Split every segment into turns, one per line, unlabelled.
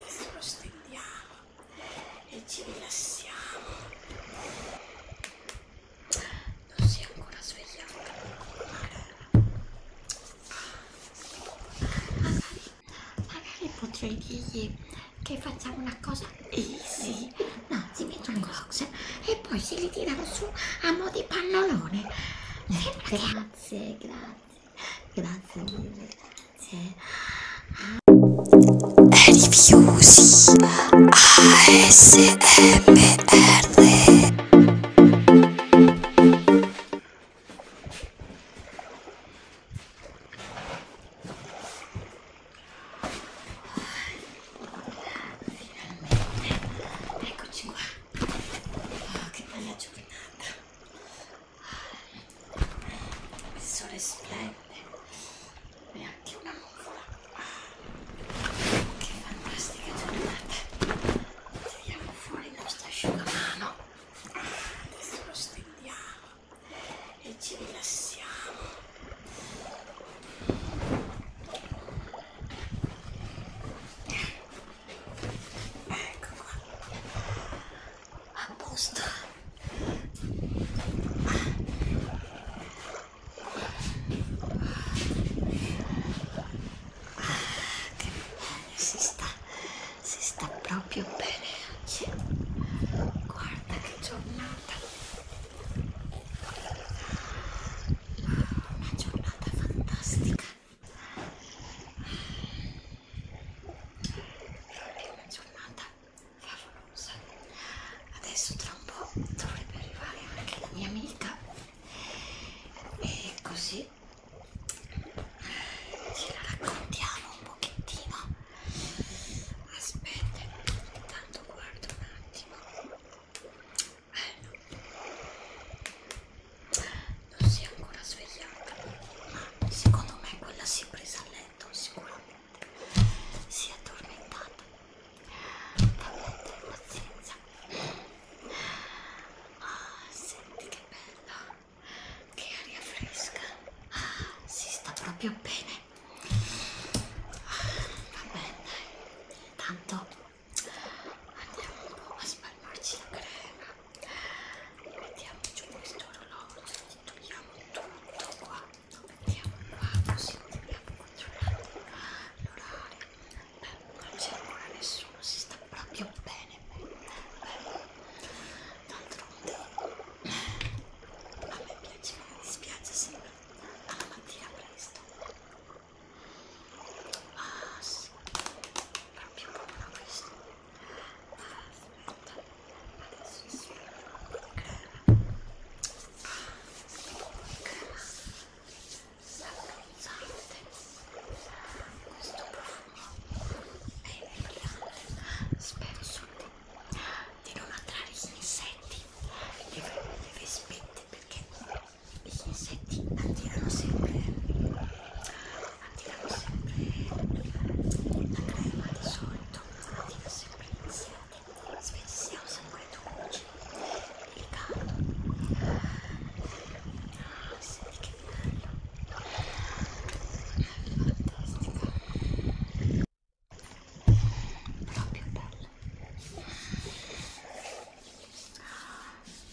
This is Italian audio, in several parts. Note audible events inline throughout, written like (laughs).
adesso lo stendiamo e ci rilassiamo non si è ancora svegliata magari, magari potrei dirgli che facciamo una cosa easy no si mette un cox e poi se li tirano su a mo' di pannolone eh, grazie grazie grazie mille Rifiusi ASMR Eccoci qua. Oh, che bella giornata. Il sole splende e anche una nuvola. Che fantastica giornata! Tiriamo fuori il nostro asciugamano. Adesso lo stendiamo e ci rilassiamo. Ecco qua a posto ah, che bene si sta si sta proprio bene oggi guarda che giornata una giornata fantastica è una giornata favolosa. Adesso tra un po' dovrebbe arrivare anche la mia amica e così ce la raccontiamo un pochettino. Aspetta, intanto guardo un attimo. Bello non si è ancora svegliata ma secondo me quella si è presa a letto sicuramente si è addormentata veramente pazienza ah senti che bella che aria fresca ah, si sta proprio bene ah, va bene tanto andiamo un po' a spalmarci la crema mettiamoci questo orologio togliamo tutto qua lo mettiamo qua così dobbiamo controllare l'orario beh non c'è ancora nessuno si sta proprio bene beh d'altronde a me piace ma mi dispiace sempre alla mattina presto ah sì proprio buono questo aspetta adesso sì crema crema saponizzante questo profumo è brillante spesso di non attrarre gli insetti le, le vespette perché gli insetti attirano sempre andiamo sempre a di solito, andiamo sempre insieme, siamo sempre dolci, delicato. Ah, senti che bello, fantastico, proprio bello. Ah,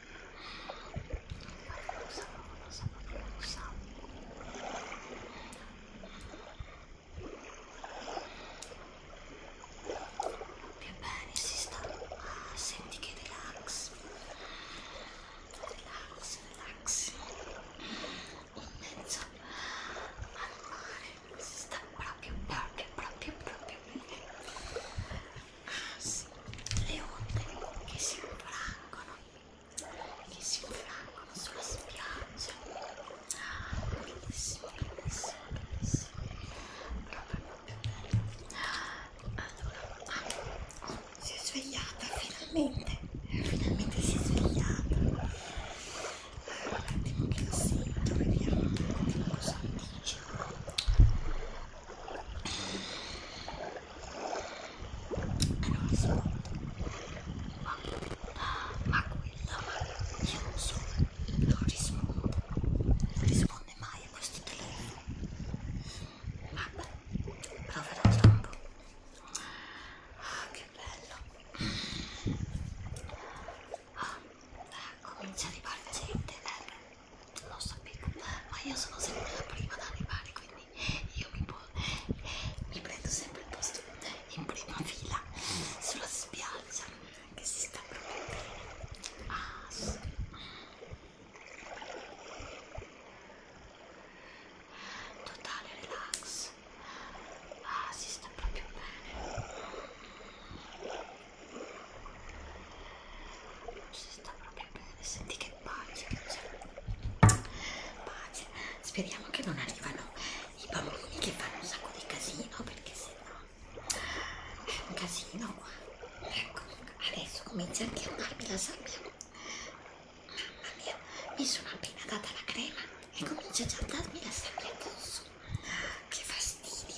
più bene si sta ah, senti che relax relax relax un mezzo al mare si sta proprio proprio proprio proprio bene sì, le onde che si infrangono, che si infrangono sulla spiaggia, ah, bellissimo, bellissimo, bellissimo, proprio proprio bello. Allora, ah, oh, si è svegliata finalmente, finalmente si è svegliata. Un attimo che la sento, vediamo un attimo cosa mi dice non mi sono ma, ma quella io non so non rispondo non risponde mai a questo telefono vabbè proverò tra un po' ah che bello ah, ecco comincia ad arrivare gente eh non sapevo, ma io sono sempre la prima ad arrivare, quindi io mi, mi prendo sempre il posto in prima fila sulla spiaggia che si sta proprio bene. Ah, sì. Totale relax. Ah, si sta proprio bene si sta proprio bene senti che pace che c'è pace speriamo che non arrivano i bambini che fanno un sacco di casino perché se no è un casino qua ecco adesso comincia anche a amarmi la sabbia mamma mia mi sono appena data la crema e comincia già a darmi la sabbia addosso che fastidio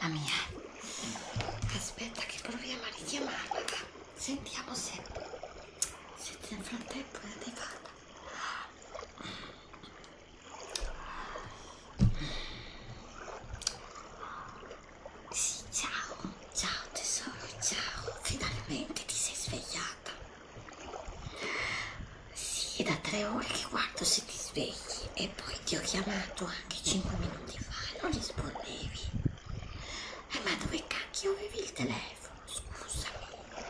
Mamma mia. Aspetta che proviamo a richiamarla. Sentiamo se, se nel frattempo è arrivata. Sì, ciao, ciao tesoro, ciao. Finalmente ti sei svegliata. Sì, è da tre ore che guardo se ti svegli e poi ti ho chiamato anche 5 minuti fa e non rispondevi. Eh, ma dove cacchio avevi il telefono? Scusami.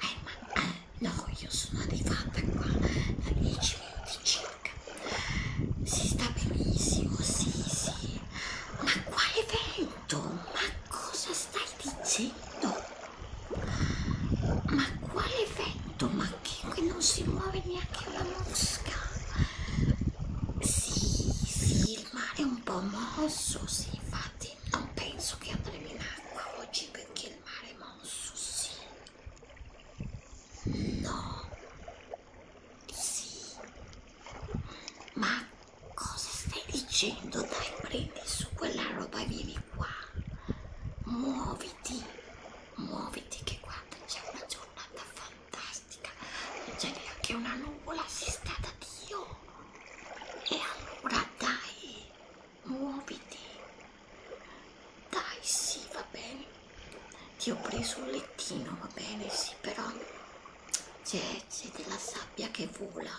Eh, ma eh, no, io sono arrivata qua da 10 minuti circa. Si sta benissimo, sì, sì. Ma quale vento? Ma cosa stai dicendo? Ma quale vento? ma anche qui non si muove neanche una mosca sì sì il mare è un po' mosso sì infatti non penso che andremo in acqua oggi perché il mare è mosso sì no sì ma cosa stai dicendo dai prendi su quella roba e vieni qua muoviti muoviti che guarda c'è una giornata fantastica non c'è neanche una nuvola si sta da Dio e allora dai muoviti dai sì va bene ti ho preso un lettino va bene sì però c'è della sabbia che vola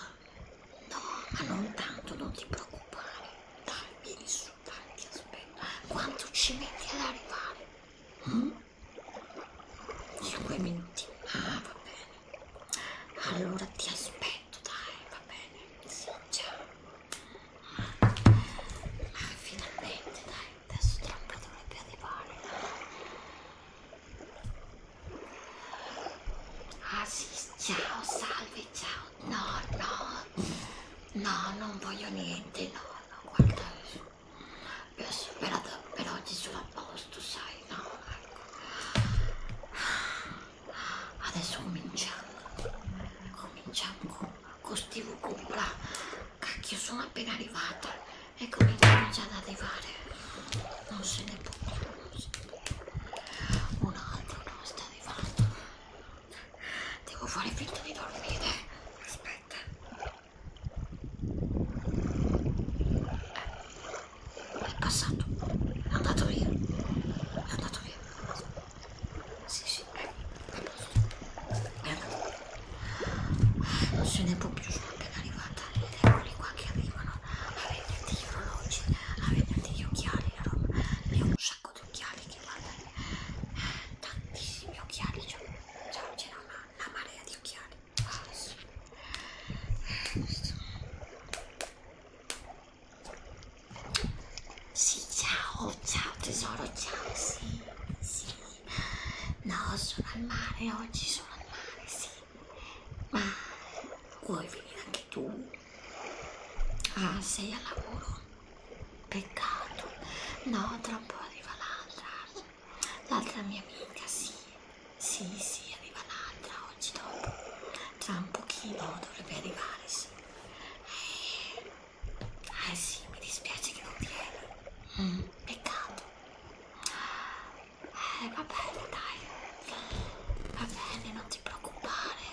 no ma non tanto non ti preoccupare dai vieni su tanti aspetta quanto ci metti ad arrivare? Mm? Cinque minuti ah va bene allora ti aspetto dai va bene sì ciao ah, finalmente dai adesso tra un po' dovrebbe arrivare ah sì ciao salve ciao no, no, no, non voglio niente, no, no, guarda, per, per oggi sono a posto, sai, no, ecco. Adesso cominciamo, cominciamo con, con Steve Cupola, cacchio, sono appena arrivata e cominciano già ad arrivare, non se ne può più, non se ne può più. Un altro non sta arrivando. Devo fare finta di dormire. Aspetta. Eh, è passato. È andato via. È andato via. Sì, sì, è andato. È andato. Non se ne può più, sono appena arrivata. Eccoli qua che arrivano a venderti gli orologi, a venderti gli occhiali, la roba. Ne ho un sacco sacco di occhiali che guardano tantissimi occhiali cioè c'era una, una marea di occhiali oh, sì. sì ciao ciao tesoro ciao sì sì no sono al mare oggi sono al mare sì ma vuoi venire anche tu Ah, sei al lavoro? Peccato. No, tra un po' arriva l'altra. L'altra mia amica, sì. Sì, sì, arriva l'altra oggi dopo. Tra un pochino dovrebbe arrivare, sì. Eh, eh sì, mi dispiace che non vieni. Mm, peccato. Eh, va bene, dai. Va bene, non ti preoccupare.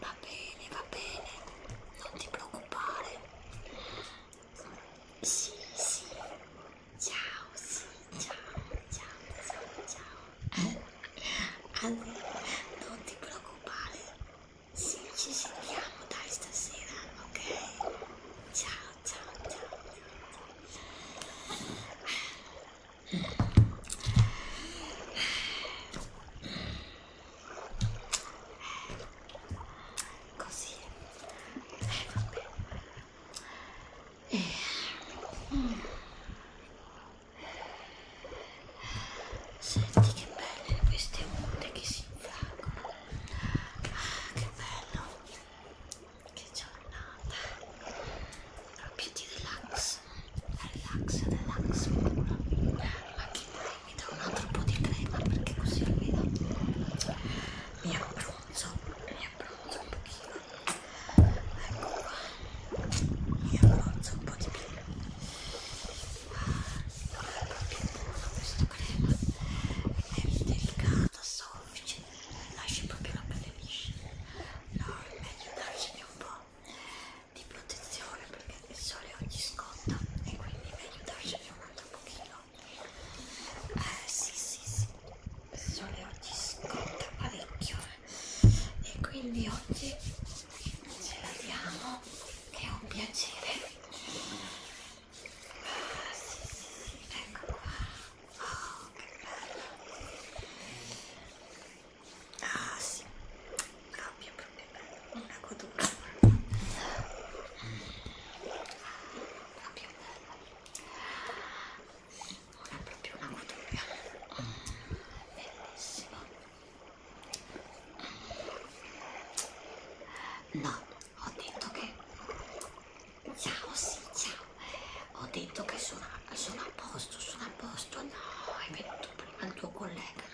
Va bene, va bene non ti preoccupare sì sì ciao sì ciao ciao ciao ciao eh, allora non ti preoccupare sì ci sentiamo dai stasera ok ciao ciao ciao, ciao così eh, vabbè eh. Mm. senti che belle queste onde che si infrangono ah, che bello che giornata proprio di relax relax, relax anche dai, mi do un altro po' di crema perché così almeno mi abbronzo mi abbronzo un pochino ecco qua mi abbronzo un po' di più ah, non è proprio buono questo crema è delicata, soffice lasci proprio la pelle liscia no, è meglio darcene un po' di protezione perché il sole oggi scotta e quindi è meglio darcene un altro pochino eh sì sì sì il sole oggi scotta parecchio e quindi oggi ce la diamo è un piacere ah sì sì sì ecco qua oh che bello Ah sì, proprio proprio bello, una cottura proprio bella, una proprio una cottura bellissima. No, ho detto che ciao sì, ciao, ho detto che sono, sono a posto, sono a posto, no, è venuto prima il tuo collega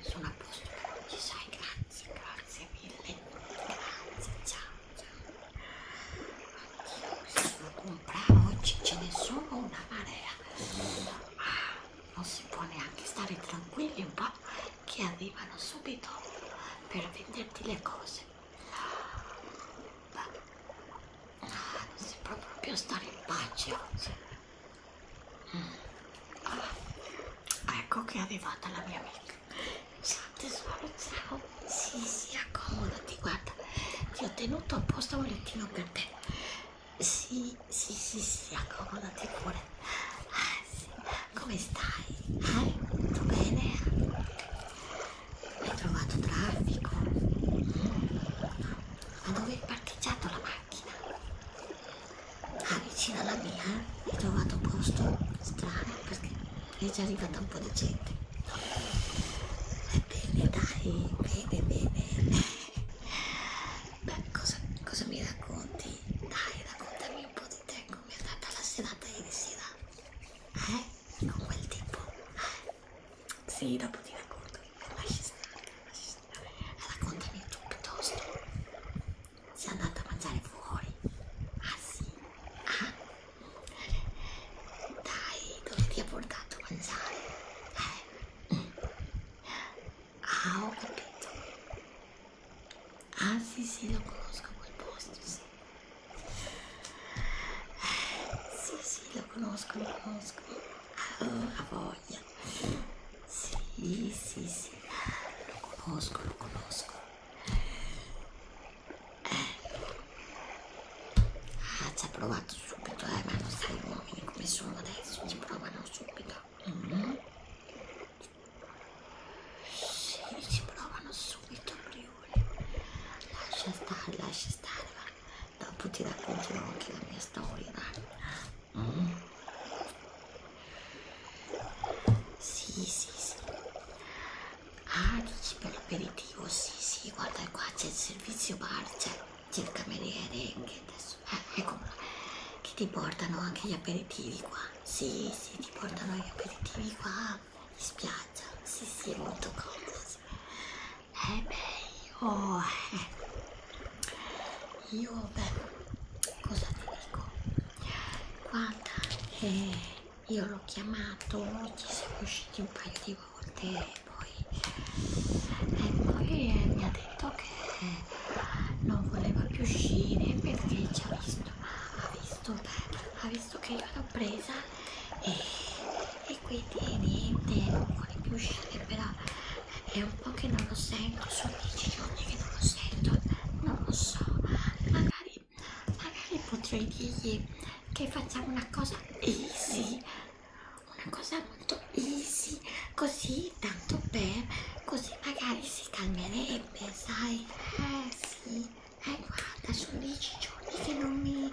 sono a posto ci sai grazie grazie mille grazie ciao ciao Oddio, mi sono comprata oggi ce ne sono una marea ah, non si può neanche stare tranquilli un po' che arrivano subito per venderti le cose Beh, non si può proprio stare in pace oggi Ah, ecco che è arrivata la mia amica. Ciao esatto, tesoro, esatto, ciao. Sì, sì, accomodati, guarda. Ti ho tenuto apposta un lettino per te. Sì, sì, sì, sì, accomodati pure. Ah, sì. Come stai? Eh? Tutto bene? Hai trovato traffico? Mm ma dove è parcheggiata la macchina? Ah, vicino alla mia eh? ho trovato un posto strano perché è già arrivata un po' di gente. Eh, bene, dai, bene, bene. Beh, cosa, cosa mi racconti? Dai, raccontami un po' di te, come è andata la serata ieri sera. Eh? Con quel tipo. Eh? Sì, dopo ti racconto. Lasci stare, lasci stare. Raccontami tu piuttosto. Sei andata a mangiare fuori. Ah sì? Ah? Dai, dove ti ha portato a mangiare? Eh? Ah, ho capito. Ah sì, sì, lo conosco quel posto, sì. Eh, sì, sì, lo conosco, lo conosco. Oh, ha voglia. Sì, sì, sì. Lo conosco, lo conosco. Eh. Ah, ci ha provato subito, eh, ma non sai gli uomini come sono adesso, ci provano subito. Mm -hmm. Sì, ci provano subito, Briuli. Lascia stare, lascia stare, va dopo ti racconterò anche la mia storia dai mm. sì sì sì ah dici per l'aperitivo sì sì guarda qua c'è il servizio bar c'è il cameriere che adesso eh, ecco che ti portano anche gli aperitivi qua sì sì ti portano gli aperitivi qua in spiaggia sì sì è molto comodo sì eh beh io eh. io beh cosa ti dico guarda eh, io l'ho chiamato ci siamo usciti un paio di volte e poi, e poi eh, mi ha detto che non voleva più uscire perché ci ha visto ha visto beh, ha visto che io l'ho presa e e quindi niente non vuole più uscire però eh, è un po' che non lo sento sono 10 giorni che non lo sento non lo so magari magari potrei dirgli che facciamo una cosa easy una cosa molto easy così tanto per così magari si calmerebbe sai eh sì eh guarda sono 10 giorni che non mi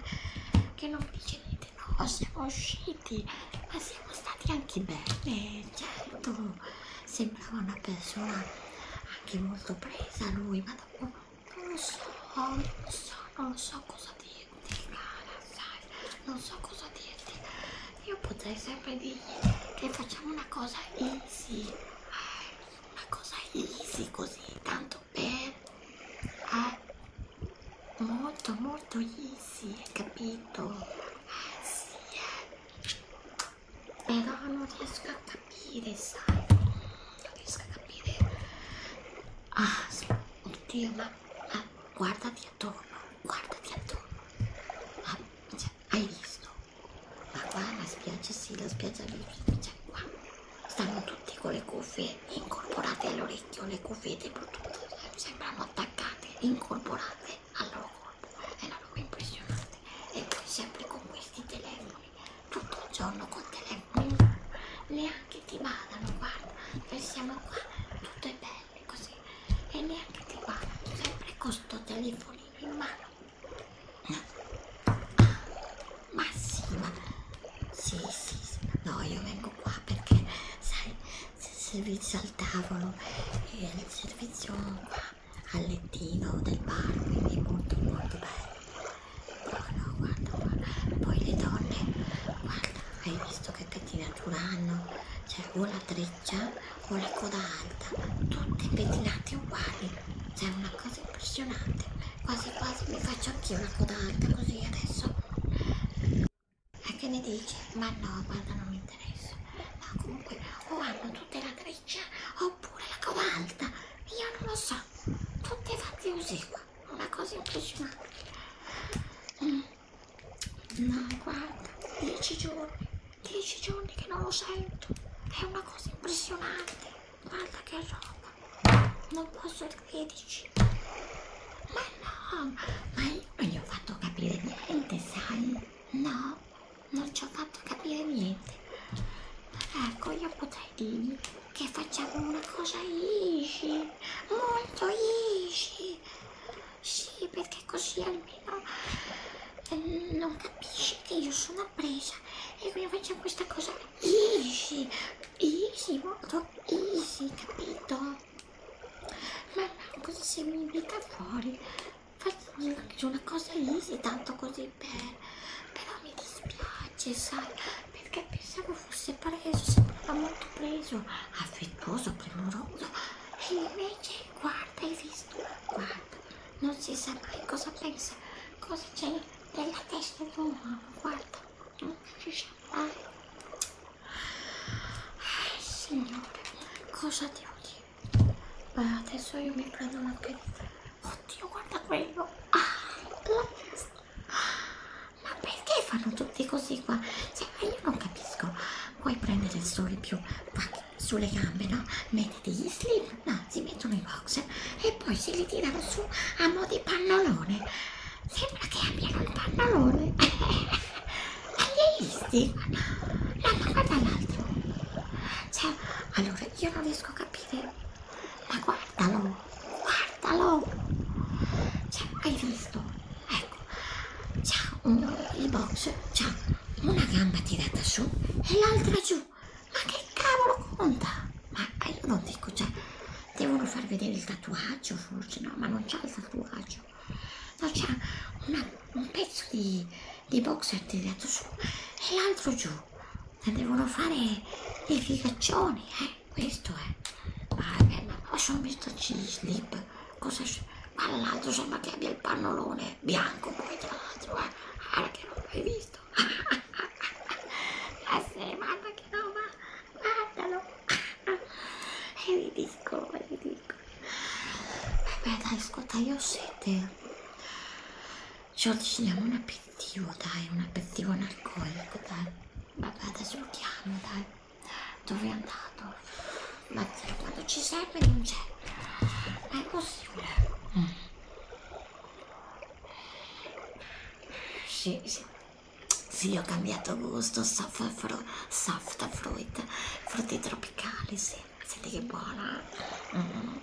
che non dice niente niente, no, siamo usciti, ma siamo stati anche bene, certo, sembrava una persona anche molto presa lui, ma dopo non lo so, non lo so, non lo so cosa dirti, cara, sai, non so cosa dirti, io potrei sempre dirgli che facciamo una cosa easy, una cosa easy così, tanto per... Eh, molto molto easy hai capito sì, eh. però non riesco a capire sai non riesco a capire ah oddio ma ah, guardati attorno guardati attorno ah, cioè, hai visto ma qua la spiaggia sì la spiaggia lì cioè qua stanno tutti con le cuffie incorporate all'orecchio, le cuffie di Bluetooth sembrano attaccate, incorporate al loro corpo, è una roba impressionante. E poi sempre con questi telefoni, tutto il giorno con telefoni, neanche ti badano, guarda, noi siamo qua tutte belle così e neanche ti badano, sempre con sto telefonino in mano. Ah, ma sì, ma sì, sì, sì, no, io vengo qua perché, sai, c'è il servizio al tavolo e il servizio qua al lettino del bar, quindi è molto, molto bello. Buono, guarda, guarda. Poi le donne, guarda, hai visto che pettinatura hanno? Cioè, o la treccia o la coda alta, tutte pettinate uguali. Cioè, è una cosa impressionante quasi quasi mi faccio anch'io una coda alta così adesso e che ne dici? ma no guarda non mi interessa ma comunque o hanno tutte la treccia oppure la coda alta io non lo so tutte fatte così qua una cosa impressionante mm. no guarda 10 giorni 10 giorni che non lo sento è una cosa impressionante guarda che roba non posso crederci ma no ma io non gli ho fatto capire niente sai no non ci ho fatto capire niente ecco io potrei dirgli che facciamo una cosa easy molto easy sì perché così almeno eh, non capisce che io sono appresa e quindi facciamo questa cosa easy easy, molto easy, capito? Allora, così se mi invita fuori, faccio anche una cosa easy, tanto così bene. Però mi dispiace, sai, perché pensavo fosse preso, sembrava molto preso, affettuoso, premuroso. E invece, guarda, hai visto? Guarda, non si sa mai cosa pensa, cosa c'è nella testa di un uomo, guarda non riesce a fare. Eh, signore, cosa devo dire? Beh, adesso io mi prendo una perita. Oddio, guarda quello. Ah, la testa. Ma perché fanno tutti così qua? Cioè, io non capisco. Puoi prendere il sole più sulle gambe, no? Metti degli slip, no, si mettono i boxer e poi se li tirano su a mo' di pannolone sembra che abbiano un pannolone agli (laughs) eisti no, ma guarda l'altro cioè, allora io non riesco a capire ma guardalo guardalo cioè, hai visto? ecco c'ha un, il box c'ha una gamba tirata su e l'altra giù ma che cavolo conta? ma io non dico, cioè, devono far vedere il tatuaggio forse, no, ma non c'ha il tatuaggio, no, c'ha un pezzo di, di boxer tirato su e l'altro giù, ne devono fare i figaccioni, eh, questo è, vabbè, ma poi sono messo slip, cosa c'è? Ma l'altro sembra che abbia il pannolone bianco poi tra l'altro, eh, guarda che non l'hai visto questo. ah (laughs) sì, guarda che roba, guardalo. è ridicolo, è ridicolo. Vabbè dai, ascolta, io ho sete. Giorgina, un aperitivo, dai, un aperitivo alcolico, dai. Vabbè, adesso lo chiamo, dai. Dove è andato? Ma quando ci serve non c'è. Ma è possibile. Mm. Sì, sì. Sì, ho cambiato gusto, soft fruit, soft fruit frutti tropicali, sì. Senti che buona. Mm.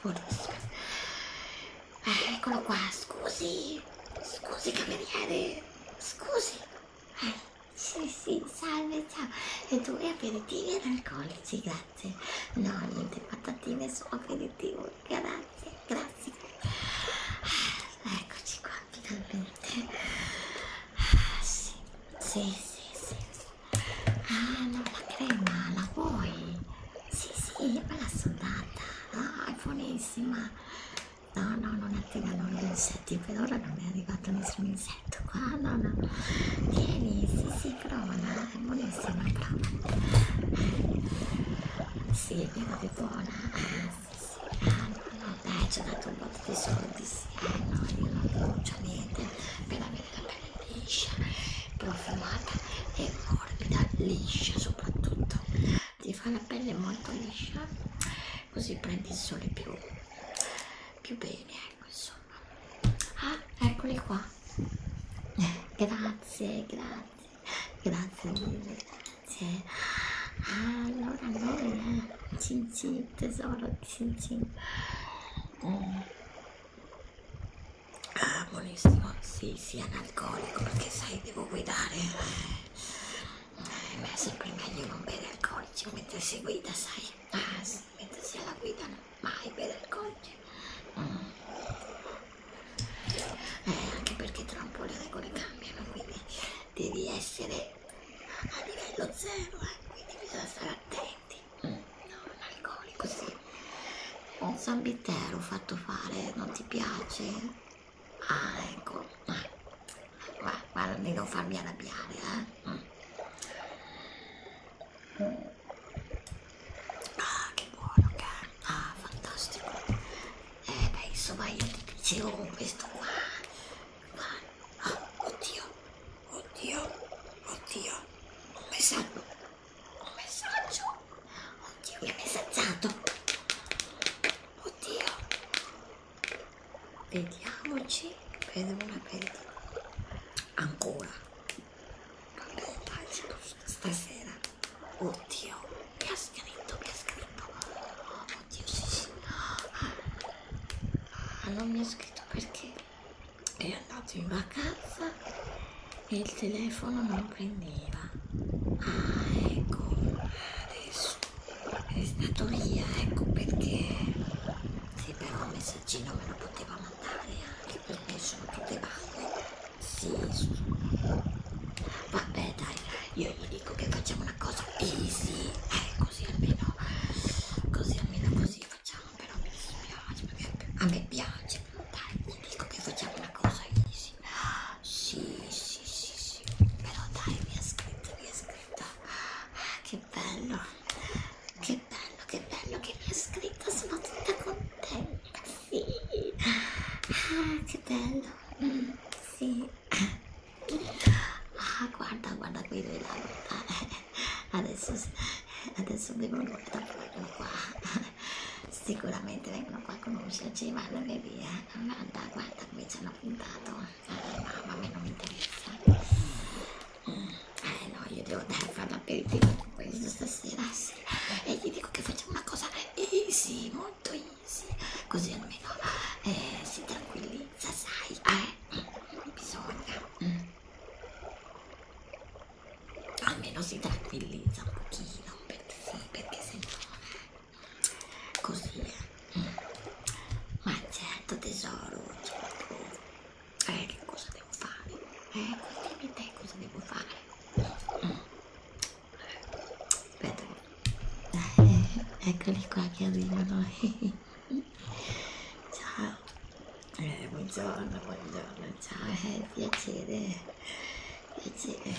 Buonissimo. Eh, eccolo qua, scusi. Scusi, cameriere. Scusi. Eh, sì, sì, salve, ciao. E due aperitivi alcolici, grazie grazie. No, niente patatine, sono aperitivo, grazie, grazie. Ah, eccoci qua, finalmente. Ah, sì, sì, sì, sì. Ah, no, la crema, la vuoi? Sì, sì, me la sono data. No, ah, è buonissima. No, no, non attirano gli insetti, per ora non è arrivato nessun insetto qua, no, no. Tieni, sì, sì sincrona, è eh, buonissima però sì, è proprio buona eh, sì, sì, ah, no, no, dai, ci ho dato un botto di soldi sì, eh, no, io non pronuncio niente appena avere la pelle liscia profumata e morbida, liscia soprattutto ti fa la pelle molto liscia così prendi il sole più più bene ecco insomma ah eccoli qua grazie, grazie, grazie mille, grazie. Allora noi, eh, cin cin, tesoro, cin cin. Mm. Ah, buonissimo, sì, sì, analcolico, perché sai, devo guidare. Eh, ma è sempre meglio non bere alcolici mentre si guida, sai. Ah, sì, mentre si alla guida, no? mai per il codice mm. Ah. eh, anche perché tra un po' le regole cambiano quindi devi essere a livello zero eh, quindi bisogna stare attenti mm. no, un alcolico sì un zambittero fatto fare non ti piace? ah ecco ah. guarda di non farmi arrabbiare eh mm. mm. Ah, che buono che è. Ah, fantastico. Eh, beh, insomma, io ti dicevo con questo qua. Ma, ah, oddio, oddio, oddio. Un messaggio. Un messaggio. Oddio, mi ha messaggiato. Oddio. Vediamoci per una per ancora non devo fare stasera oddio che ha scritto che ha scritto oh, oddio sì sì ah, non mi ha scritto perché è andato in vacanza e il telefono non prendeva ah ecco adesso è stato via ecco perché sì però un messaggino me lo potevamo andare anche perché sono tutte balle sì, sì vabbè dai io gli dico che facciamo una cosa easy eh così almeno così almeno così facciamo però mi dispiace perché a me piace dai gli dico che facciamo una cosa easy sì sì sì sì però dai mi ha scritto mi ha scritto ah, che bello che che bello, che bello che mi ha scritto, sono tutta contenta, sì, ah, che bello, mm, sì, ah, guarda, guarda qui lui là, adesso, adesso vengono da vengono qua, sicuramente vengono qua a conoscerci, vanno e via, guarda, guarda come ci hanno puntato, ah, mamma, a me non mi interessa. Mm eh no io devo andare a fare l'aperitivo con questo stasera sì. e gli dico che facciamo una cosa easy eh, molto easy così almeno eh, si tranquillizza sai eh bisogna mm. almeno si tranquillizza un pochino perché sì perché se no eh, così mm. ma certo tesoro eh, che cosa devo fare? Eh, dimmi te cosa devo fare. Mm. Aspetta, eh, eccoli qua che arrivano. (laughs) ciao, eh, buongiorno, buongiorno, ciao, eh, piacere, piacere.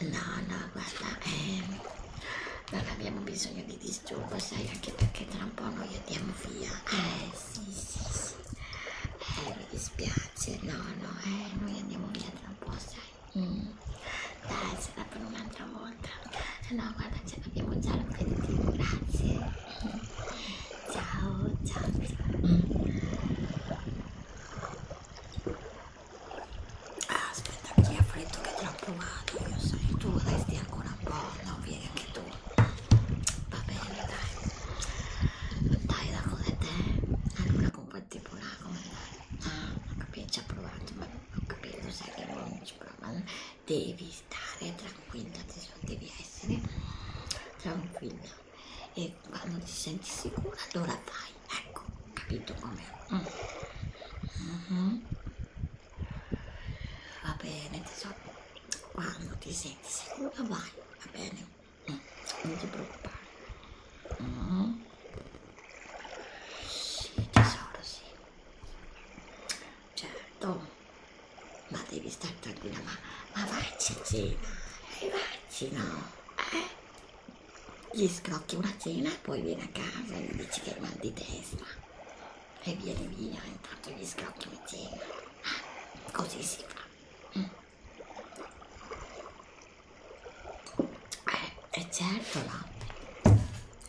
No, no, guarda, eh, non abbiamo bisogno di disturbo, sai, anche perché tra un po' noi andiamo via. Eh, sì, sì, sì eh, mi dispiace, no, no, eh, noi andiamo via tra un po', sai, mm. dai, ce la per un'altra volta, no, guarda, ce l'abbiamo già l'aperitivo, grazie, mm. ciao, ciao, ciao, mm. ah, aspetta, chi ha freddo che troppo vado, io sono tu, resti ancora un po', no, vieni anche tu, va bene dai dai da come te allora comunque tipo una come ah ho capito ci ha provato ma ho capito sai che non ci prova devi stare tranquilla adesso devi essere tranquilla e quando ti senti sicura allora vai ecco capito come mm. mm -hmm. va bene tesoro quando ti senti sicuro vai, va bene? Mm, non ti preoccupare. Mm. Sì, tesoro, sì. Certo. Ma devi stare tranquilla, ma, ma vaccinare, eh, vai vaccino, eh? Gli scrocchi una cena e poi vieni a casa e gli dici che hai mal di testa e vieni via intanto vi scappo insieme. Ah, così si fa. Mm. Eh, e certo latte.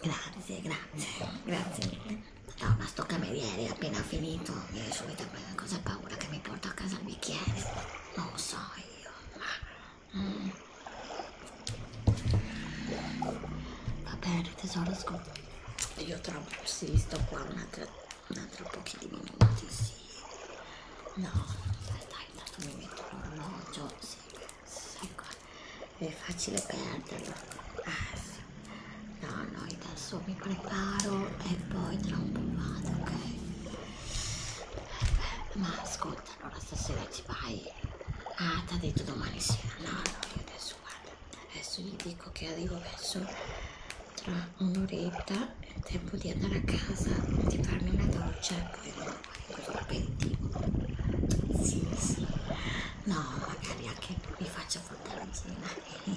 Grazie, grazie, grazie mille. No, ma sto cameriere appena finito viene subito a cosa paura che mi porto a casa il bicchiere. Non lo so io. Ma... Mm. Va bene tesoro, scusa. Io trovo, sì, sto qua un attimo altro, cioè, un altro pochino monti, sì. No, dai, dai, intanto mi metto l'orologio, sì, sì, qua. è facile perderlo. Ah, sì. No, no, adesso mi preparo e poi tra un po' vado, ok? Beh, ma ascolta, allora stasera ci vai. Ah, ti ha detto domani sera, no, no, io adesso adesso guarda adesso gli dico che arrivo verso tra un'oretta è tempo di andare a casa di farmi una doccia e poi questo appetito sì sì no magari anche vi faccio fantasina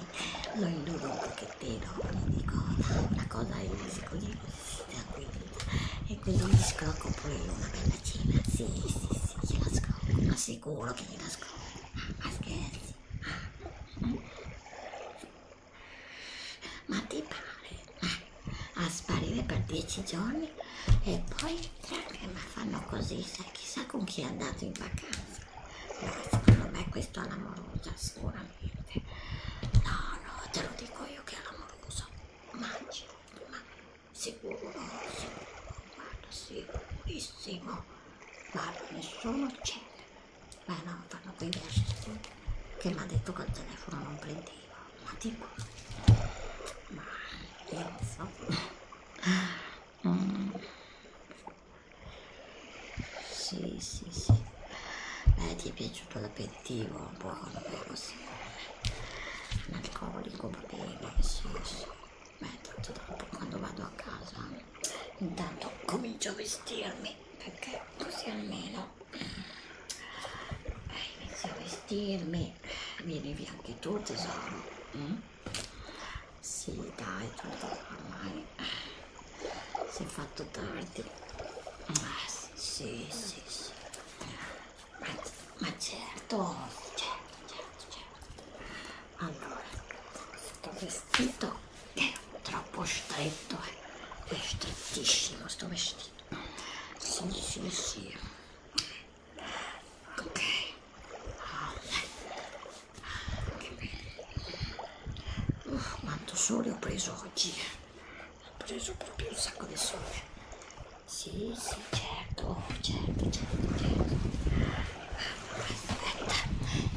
(laughs) lo illudo un pochettino gli dico no, una cosa è easy così tranquilla e quindi gli scrocco pure una bella cena sì sì sì gliela scrocco assicuro che gliela scrocco ah, ma scherzi ma ti pare? Eh, a sparire per dieci giorni e poi tranne, ma fanno così, sai chissà con chi è andato in vacanza. No, secondo me questo è l'amorosa, sicuramente. No, no, te lo dico io che è l'amorosa. Mangi, ma sicuro, sicuro, guarda, sicurissimo ma nessuno c'è. Beh no, fanno qui Ashley che mi ha detto che il telefono non prendeva, ma tipo, ma io non so. Mm. Sì, sì, sì. Beh, ti è piaciuto l'aperitivo, un po', vero, sì. Un alcolico, va bene, sì, sì ma intanto dopo quando vado a casa intanto comincio a vestirmi perché così almeno eh, eh inizio a vestirmi vieni via anche tu tesoro mm? sì dai tesoro ormai eh, si è fatto tardi ah, sì sì sì, sì. Eh, ma, ma certo certo certo certo allora sto vestito è troppo stretto eh. è strettissimo sto vestito sì sì sì ok oh, che bello Uff, uh, quanto sole ho preso oggi ho preso proprio un sacco di sole sì sì certo certo certo certo Aspetta,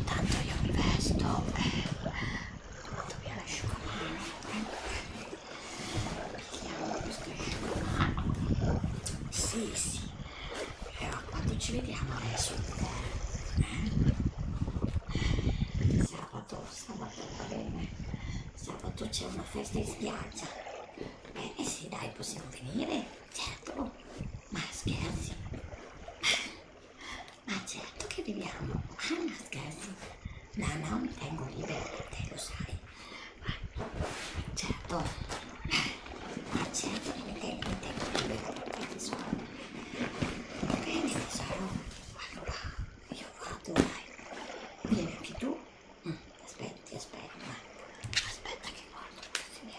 tanto io investo eh, Tanto via l'asciugamano Pigliamo questo asciugamano Sì, sì Però eh, quando ci vediamo adesso eh? Sabato, sabato va bene Sabato c'è una festa in spiaggia Bene, eh, sì, dai, possiamo venire Certo, ma scherzi. Ma certo che viviamo. Ah, ma scherzi. No, no, mi tengo libera te, lo sai. Certo. Ma certo che mi tengo, mi tengo libera te, tesoro. Bene, tesoro. Guarda qua. Io vado, vai. Vieni anche tu. Mm, aspetta, ti aspetto. Eh. Aspetta che guardo questi miei